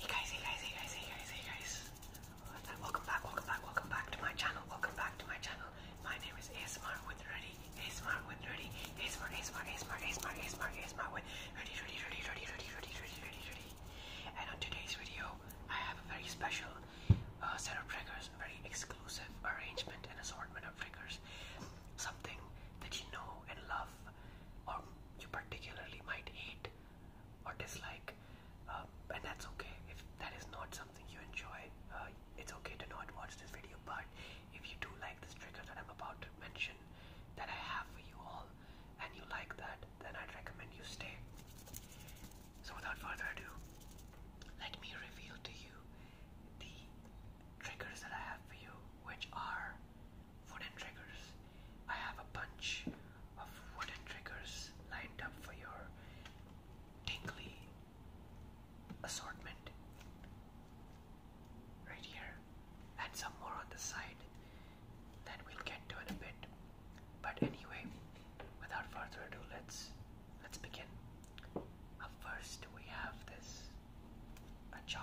Hey guys, hey guys, hey guys, hey guys, hey guys. Welcome back, welcome back, welcome back to my channel. Welcome back to my channel. My name is ASMR with Ready. ASMR with Ready. ASMR, ASMR, ASMR, ASMR, ASMR, ASMR with Ready, Ready, Ready, Ready, Ready, Ready, Ready, Ready, Ready. And on today's video, I have a very special uh, set of triggers, a very exclusive arrangement and assortment of triggers. Something that you know and love or you particularly might hate or dislike, um, and that's okay. If that is not something you enjoy, uh, it's okay to not watch this video. But if you do like this trigger that I'm about to mention, that I have for you all, and you like that, then I'd recommend you stay. So, without further ado, let me reveal to you the triggers that I have for you, which are wooden triggers. I have a bunch of wooden triggers lined up for your tingly assortment right here, and some more on the side that we'll get to in a bit. But anyway, without further ado, let's let's begin. first, we have this a jar.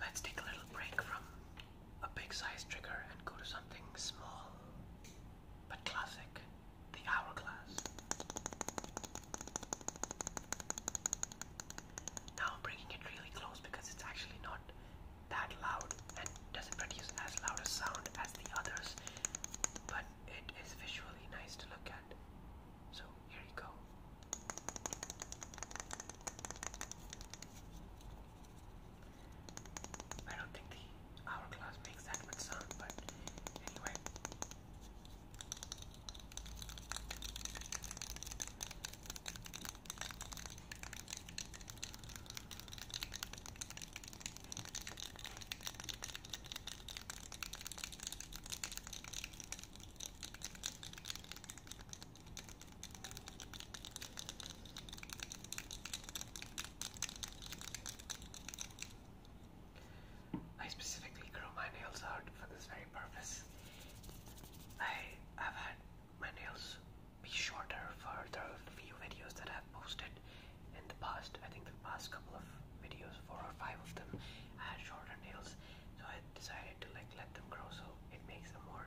Let's take a little break from a big size trigger and go to something small but classic, the hourglass. Now I'm bringing it really close because it's actually not that loud and doesn't produce as loud a sound as the others, but it is visually nice to look at. So here you go. I don't think the hourglass makes that much sound, but anyway. I specifically grew my nails out for this very purpose. I have had my nails be shorter for the few videos that I've posted in the past. I think the past couple of videos, four or five of them, I had shorter nails, so I decided to like let them grow so it makes them more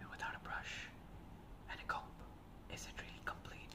And without a brush and a comb, is it really complete?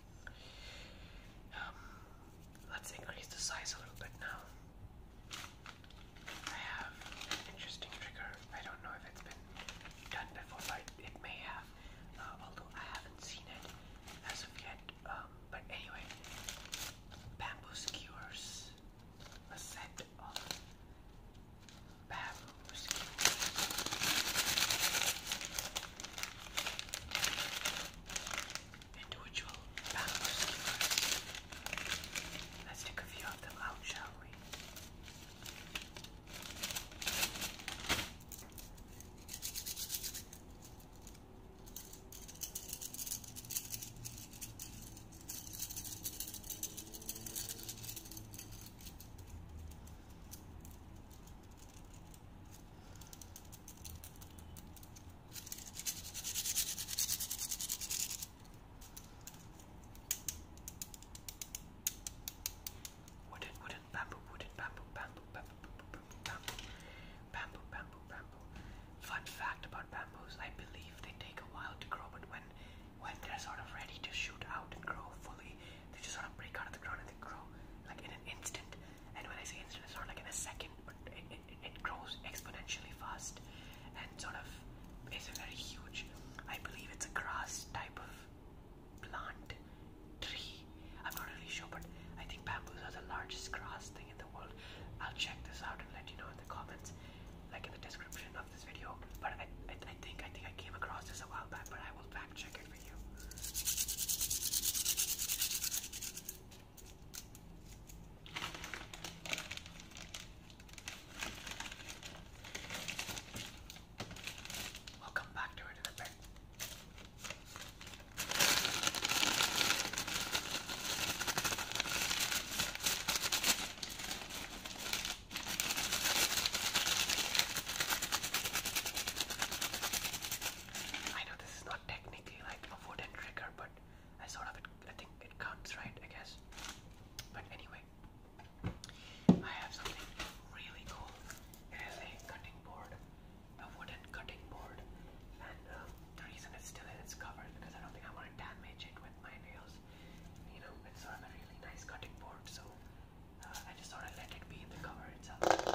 Um, let's increase the size a little bit now. I have interesting trigger. I don't know if it's been done before, but it may have. Uh, although I haven't seen it as of yet. Um, but anyway, bamboo skewers. A set of bamboo skewers individual bamboo skewers. Let's take a few of them out, shall we? Wooden, wooden, bamboo, wooden, bamboo, bamboo, bamboo, bamboo, bamboo, bamboo, bamboo, Fun fact about bamboos: I believe they take a while to grow, but when when they're sort of ready to shoot out and grow fully, they just sort of break out of the ground and they grow like in an instant. And when I say instant, it's not like in a second, but it, it, grows exponentially fast and sort of is a very huge. I believe it's a grass type of plant tree. I'm not really sure, but I think bamboos are the largest grass thing in the world. I'll check this out and let you know in the comments, like in the description of this video. But I, I, I think I think I came across this a while back, but I will fact check it for you. We'll come back to it in a bit. I know this is not technically like a wooden trigger, but I sort of, I think it counts, right? I guess. But anyway, I have something really cool. It is a cutting board, a wooden cutting board, and um, the reason it's still in its cover is because I don't think I want to damage it with my nails. You know, it's sort of a really nice cutting board, so I just sort of let it be in the cover itself.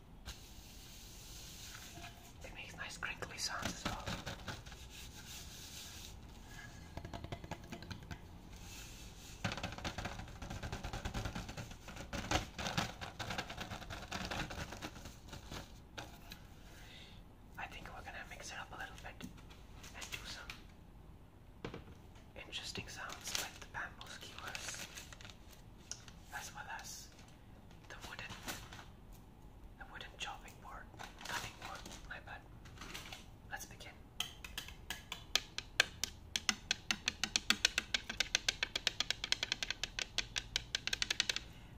It makes nice crinkly sounds as well. I think we're gonna mix it up a little bit and do some interesting sounds like the bamboo skewers, as well as the wooden, the wooden chopping board, cutting board. My bad. Let's begin.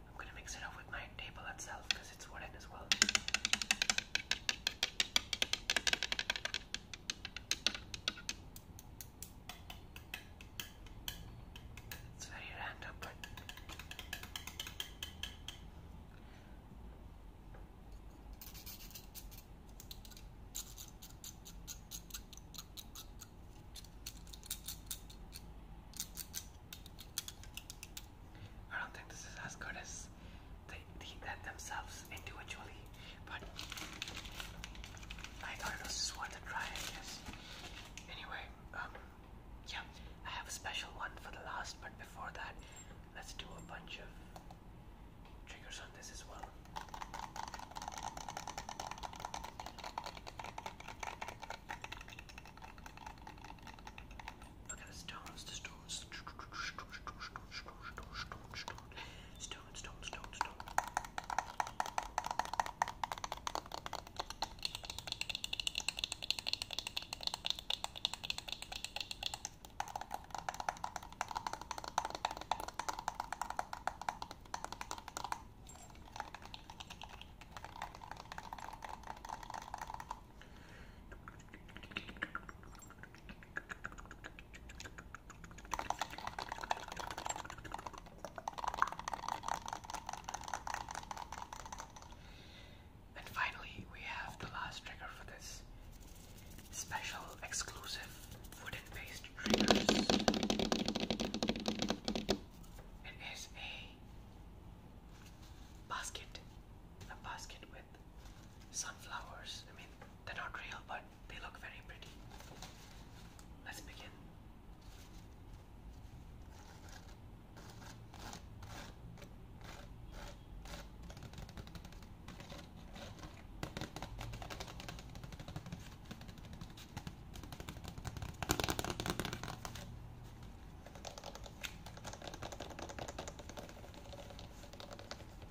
I'm gonna mix it up with my table itself because it's wooden as well. It's very I don't think this is as good as they eat that themselves individually, but I thought it was just worth a try, I Anyway, um, yeah, I have a special one for the last, but before that, let's do a bunch of triggers on this as well. Look at the stones, the stones stone, stone, stone, stone. And finally, we have the last trigger for this special exclusive wooden based triggers. It is a basket, a basket with sunflowers. I mean, they're not real, but they look very pretty. Let's begin.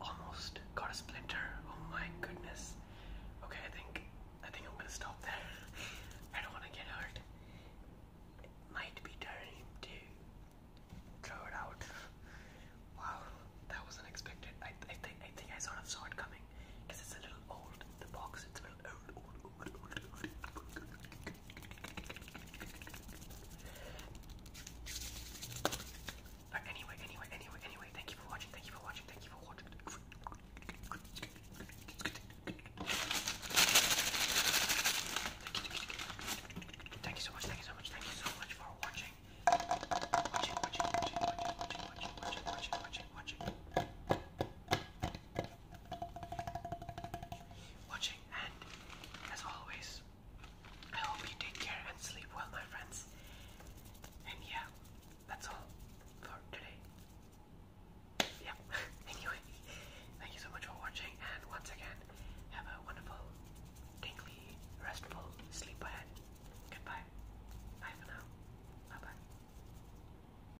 Almost got a splinter. Oh my goodness. Okay, I think I think I'm gonna stop there. I don't wanna get hurt. might be time to throw it out. Wow, that was unexpected. I think I saw it coming because it's a little old. The box but anyway, anyway, anyway, anyway, thank you for watching, thank you for watching, thank you for watching. Thank you so much, thank you so much, thank you so much for watching. Watching, watching, watching, watching, watching, watching, watching, watching, watching watching, and as always, I hope you take care and sleep well, my friends. And yeah, that's all for today. Yeah, anyway, thank you so much for watching, and once again, have a wonderful, tingly, restful sleep ahead. Goodbye. Bye for now. Bye bye.